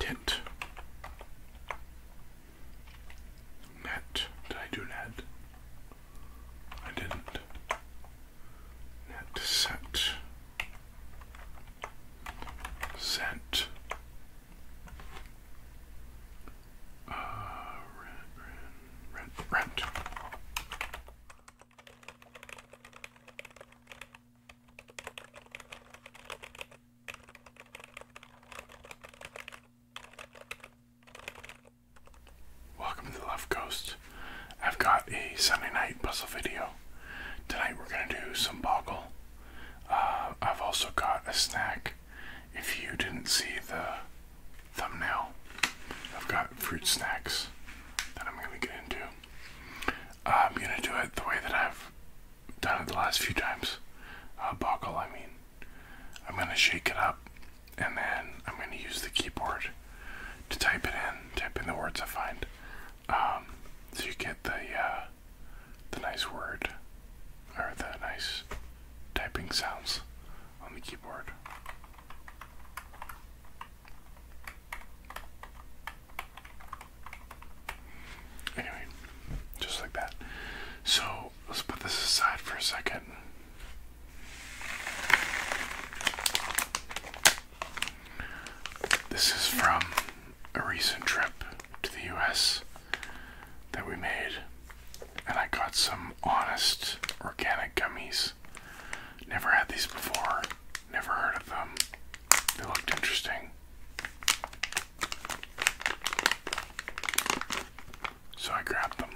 Tint. Net. Did I do net? I didn't. Net set. Sent. Uh, rent, rent, rent, rent. Welcome to the Left Coast. I've got a Sunday night puzzle video. Tonight we're going to do some boggle. Uh, I've also got a snack. If you didn't see the thumbnail, I've got fruit snacks that I'm going to get into. I'm going to do it the way that I've done it the last few times. Uh, I mean. I'm gonna shake it up and then I'm gonna use the keyboard to type it in, type in the words I find. Um, so you get the, uh, the nice word or the nice typing sounds on the keyboard. Anyway, just like that. So let's put this aside for a second. This is from a recent trip to the US that we made, and I got some honest organic gummies. Never had these before. Never heard of them. They looked interesting. So I grabbed them.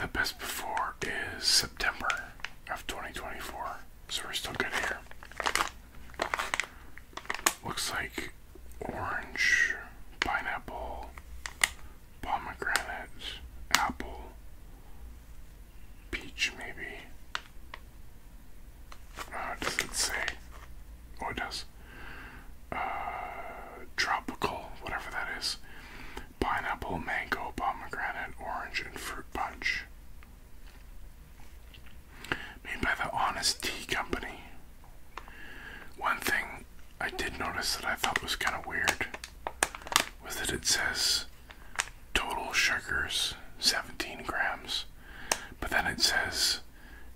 The best before is September of 2024. So we're still good here. Looks like orange, pineapple, pomegranate, apple, peach maybe. Uh, does it say? Oh, does. Uh, tropical, whatever that is. Pineapple, mango, pomegranate, orange, and fruit punch. Made by the Honest Tea Company. One thing I did notice that I thought was kind of weird was that it says Total sugars 17 grams. But then it says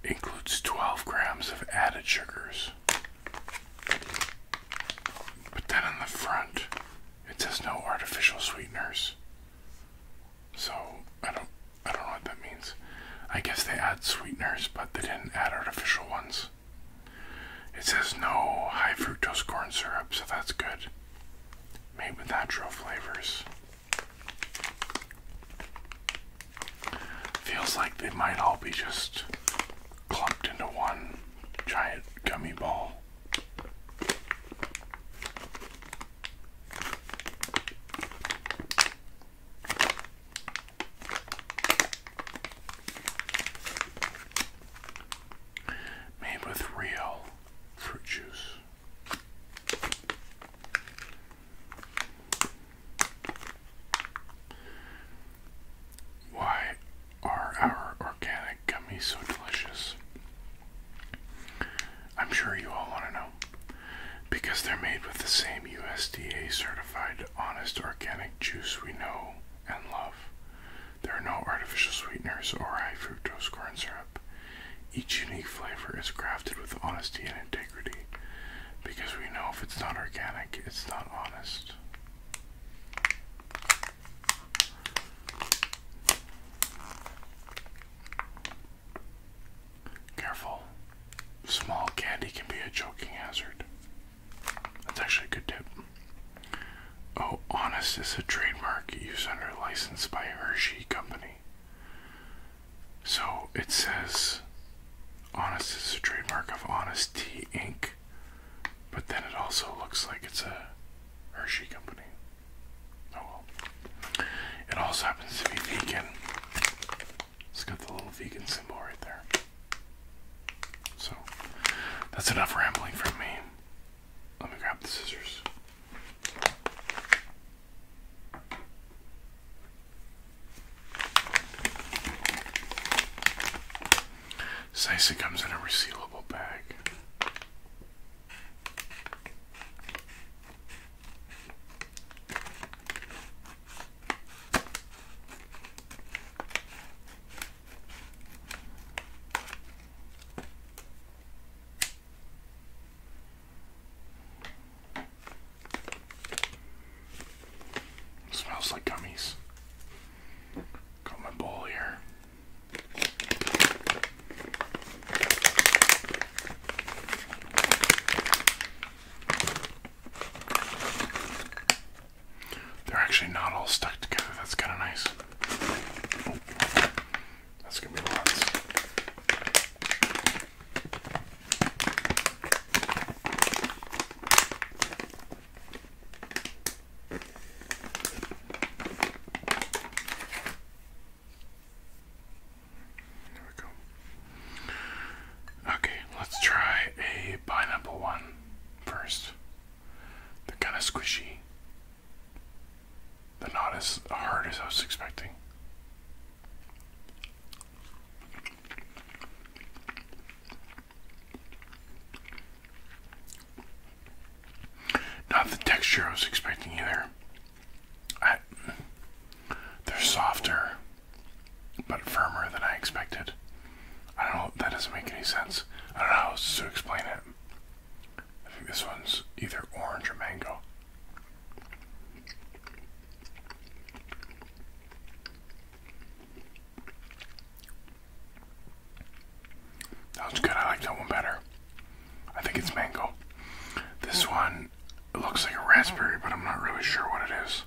includes 12 grams of added sugars. But then on the front, it says no artificial sweeteners. So I don't I don't know what that means. I guess they add sweeteners, but they didn't add artificial ones. It says no high fructose corn syrup, so that's good made with natural flavors. Feels like they might all be just clumped into one giant gummy ball. Made with real fruit juice. Why are our organic gummies so delicious? I'm sure you all want to know. Because they're made with the same USDA certified honest organic juice we know and love. There are no artificial sweeteners or high fructose corn syrup. Each unique flavor is crafted with honesty and integrity because we know if it's not organic, it's not honest. Careful. Small candy can be a choking hazard. That's actually a good tip. Oh, Honest is a trademark used under license by Hershey Company. So it says Honest is a trademark of Honest Tea Inc., but then it also looks like it's a Hershey Company. Oh well. It also happens to be vegan. It's got the little vegan symbol right there. So that's enough rambling from me. Let me grab the scissors. Sicey comes in a resealable bag. Smells like gummies. Got my bowl here. They're actually not all stuck together. That's kind of nice that's gonna be lots. There we go. Okay, let's try a pineapple one first. They're kind of squishy. They're not as hard as I was expecting. Not the texture I was expecting either. they're softer, but firmer than I expected. I don't know, that doesn't make any sense. I don't know how to explain it. I think this one's either orange or mango. That was good. I like that one better. I think it's mango. This one looks like a raspberry, but I'm not really sure what it is.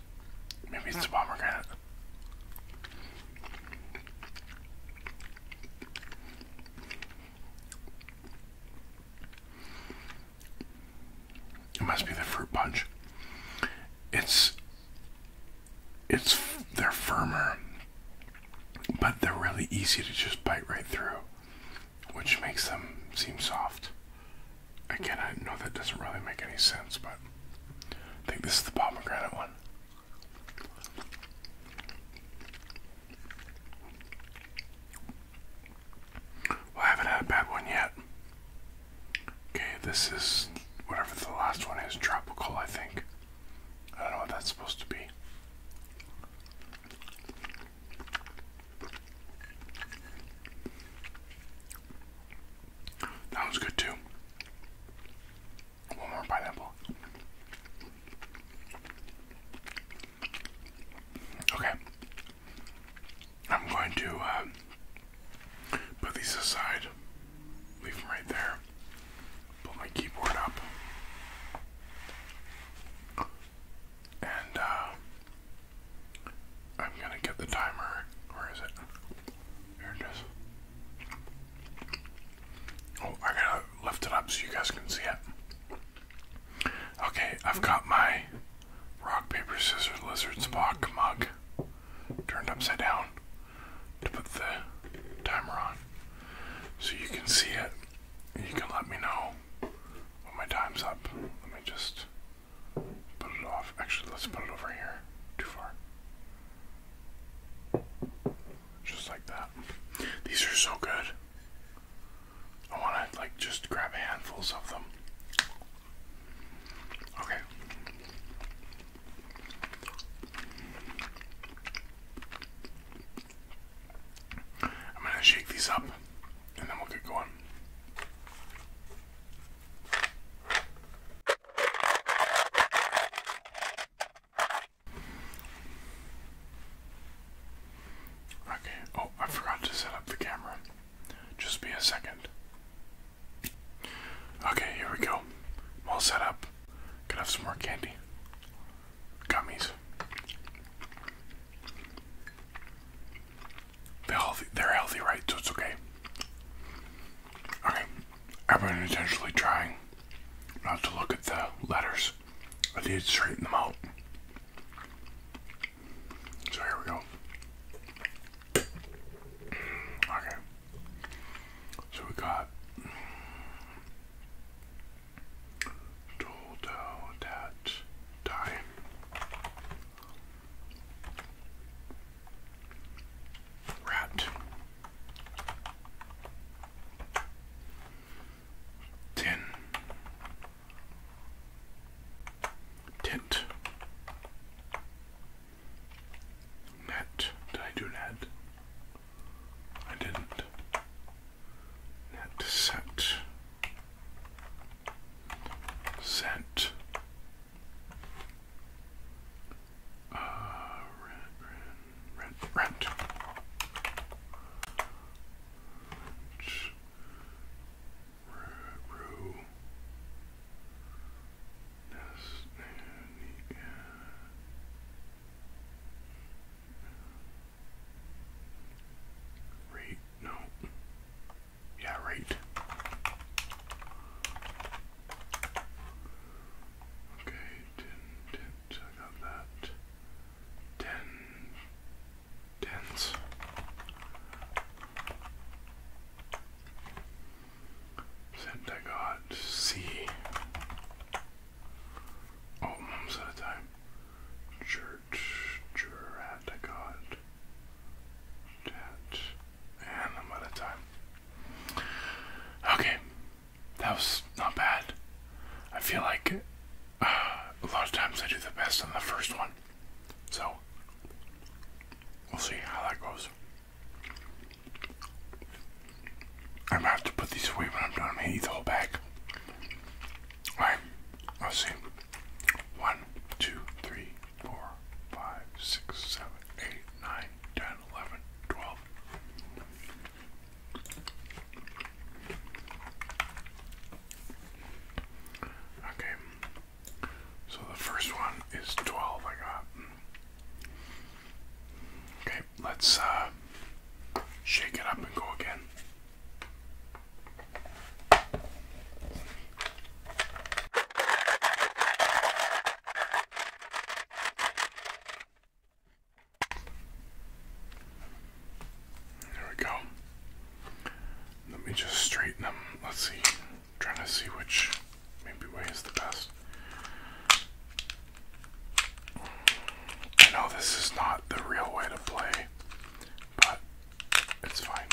Maybe it's a hmm. pomegranate. It must be the fruit punch. It's it's they're firmer, but they're really easy to just bite right through, which makes them seem soft. Again, I know that doesn't really make any sense, but I think this is the pomegranate one. I haven't had a bad one yet. Okay, this is whatever the last one is, tropical, I think. I don't know what that's supposed to be. That one's good too. One more pineapple. Okay. I'm going to uh, put these aside, leave them right there, put my keyboard up, and uh, I'm going to get the timer. Where is it? Oh, I gotta lift it up so you guys can see it. Okay, I've got my rock, paper, scissors, lizard, spock mug turned upside down to put the timer on. So you can see it. You can let me know when my time's up. Let me just put it off. Actually, let's put it over here. Too far just like that. These are so good. I want to like just grab handfuls of them. Okay. I'm going to shake these up and then we'll get going. Okay, oh, I forgot to set up the camera. Just be a second. Okay, here we go. all set up. Gonna have some more candy. Gummies. They're healthy, they're healthy right? So it's okay. Okay, I've been intentionally trying not to look at the letters. I need to straighten them out. So here we go. Okay. So we got do that die. Rat. Tin. Tint. Net. Did I do net? I didn't. Net set. Set. Uh, rent, rent, rent, rent. Rue. Rate, no. Yeah, rate. Okay, ten, ten, I got that. Ten, tens. Sent I got C. Oh, mom's out of time. Church, jurat, I got that. And I'm out of time. Okay, that was not bad. I feel like uh, a lot of times I do the best on the first one. So, we'll see how that goes. I'm gonna have to put these away when I'm done. I'm the whole bag. Alright, let's see. 1, Okay, so the first one is 12 I got. Okay, let's uh, shake it up and go again. There we go. Let me just straighten them. Let's see. trying to see which maybe way is the best. I know this is not the real way to play, but it's fine.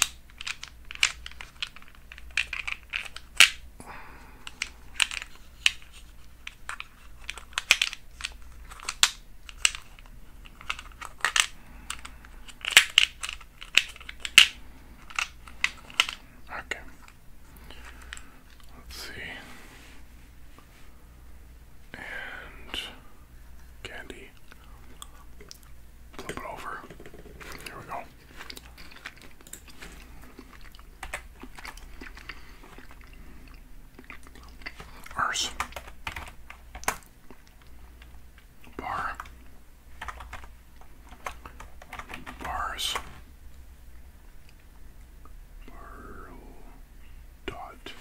Okay. Let's see. And candy. Flip it over. Here we go. Arse. Bar. Bars. Barrel. Dot.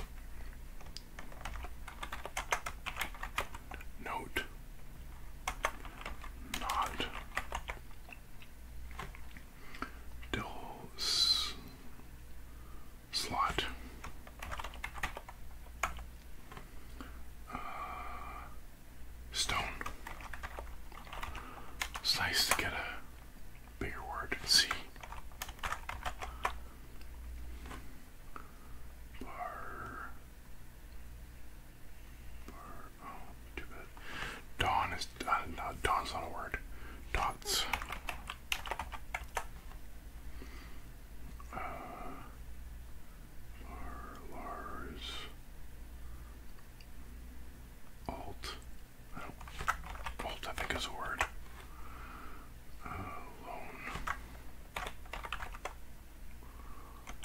Note. Not. Del slot. Uh, stone. It's nice to get a bigger word. C. Bar. Bar, oh, Dawn is uh, not a word. Dots. Uh, Lars. Alt. alt, I think is a word. Uh,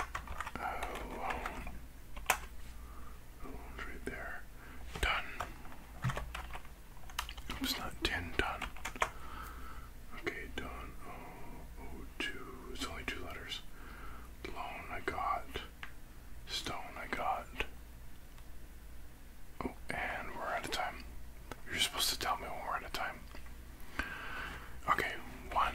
Oh, right there. Done. Oops, not 10 done. Okay, done. Oh, oh, two. It's only two letters. Loan I got. Stone I got. Oh, and we're out of time. You're supposed to tell me when we're out of time. Okay, one,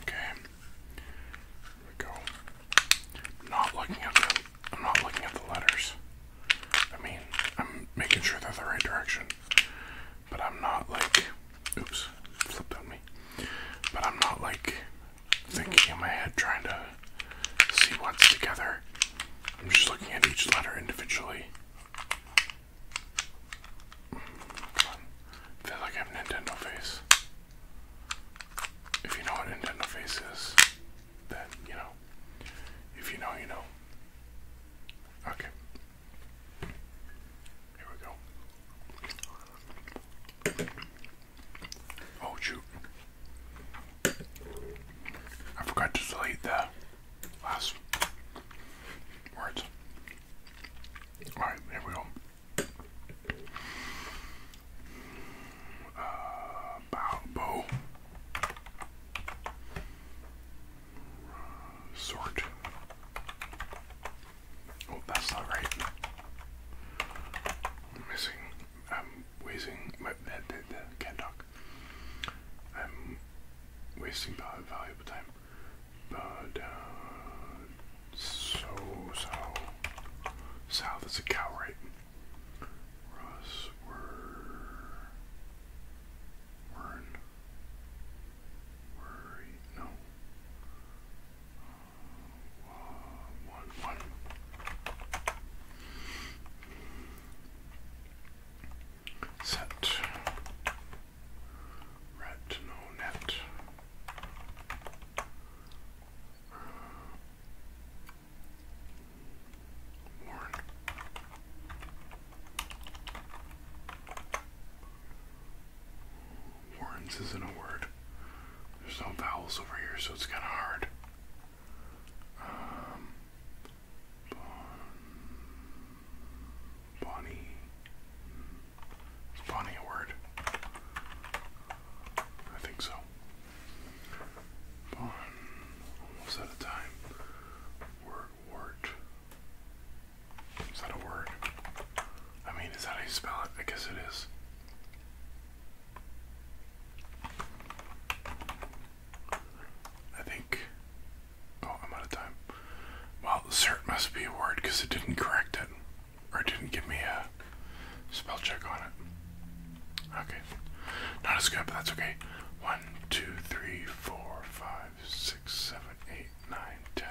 Okay. There we go. I'm not looking at the I'm not looking at the letters. I mean, I'm making sure they're the right direction. But I'm not like oops, flipped on me. But I'm not like thinking in my head, trying to see what's together. I'm just looking at each letter individually. Come on. feel like I have Nintendo face. If you know what Nintendo face is, then you know. If you know, you know. Okay. Here we go. Oh shoot. I forgot to delete the last words. Alright, here we go. Uh, bow, Sort. Oh, that's not right. missing I'm wasting my that, that, that, can't talk. I'm wasting valuable time. But uh, so so south is a cow, right? Russ were Wern. Worry no. Uh, one, one. Set red no net. Warren. Warren's isn't a word. There's no vowels over here, so it's kind of hard. Um, bonnie. Is bonnie a word? I think so. Bon. Almost out of time. Word, Is that a word? I mean, is that how you spell it? I guess it is. I think. Oh, I'm out of time. Well, cert must be a word because it didn't correct it, or it didn't give me a spell check on it. Okay, not as good, but that's okay. One, two, three, four, five, six, seven, eight, nine, ten.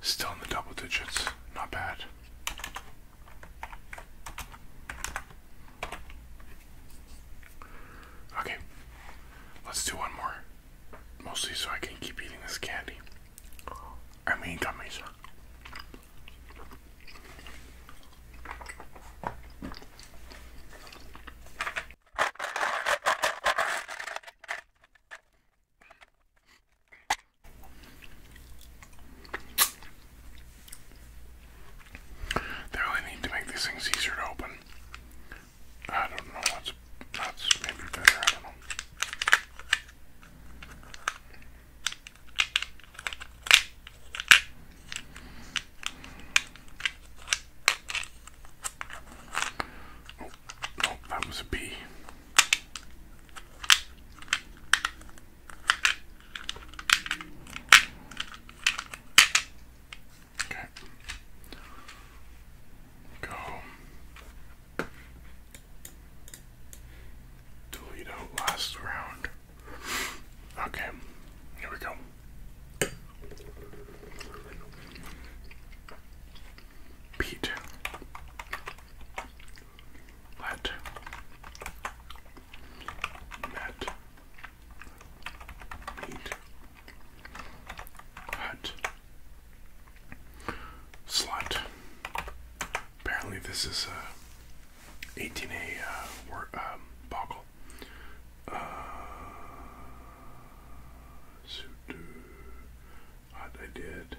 Still in the double digits. Not bad. Okay, let's do one more. Mostly so I can keep eating this candy. I mean, gummies. They really need to make these things easier to open. I don't know what's that's maybe better, oh, oh, that was a bee. Okay. Go. Toledo last round. Okay, here we go. Pete let met meet hut slut. Apparently, this is uh, a 18A buckle. Uh, um, what I did.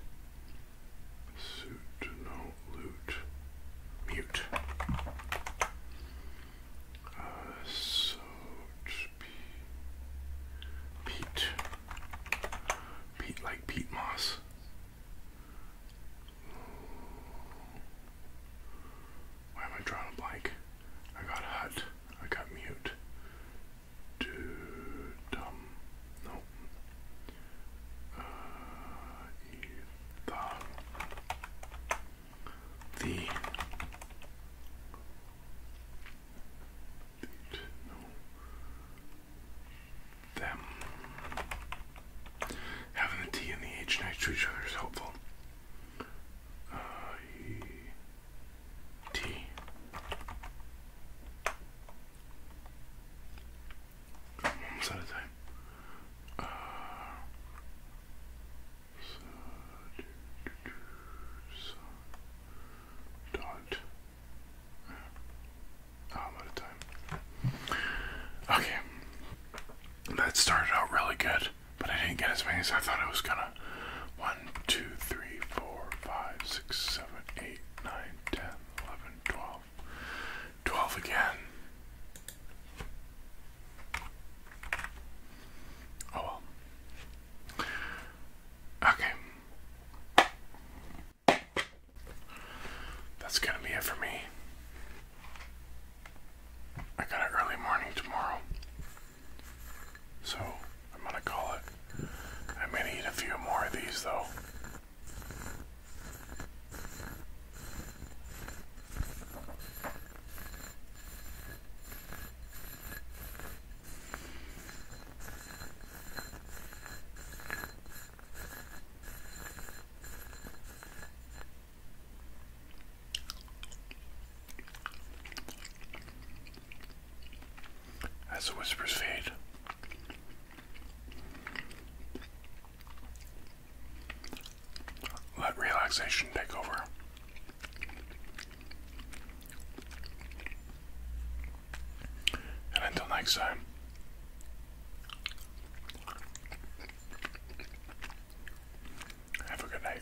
Suit, no, loot, mute. Uh, so, Pete. Pete, like peat moss. Why am I drawing a blank? I got hut. I got mute. Dudum. No. Uh, The. the no. Them. Having the T and the H next to each other is helpful. Uh, Almost out of time. Uh, dot. I'm out of time. Okay. That started out really good, but I didn't get as many as I thought I was gonna. 1, 11, 12, again. Oh well. Okay. That's gonna be it for me. I got an early morning tomorrow. So I'm gonna call it. I'm going to eat a few more of these though as the whispers fade. Let relaxation take over. And until next time, have a good night.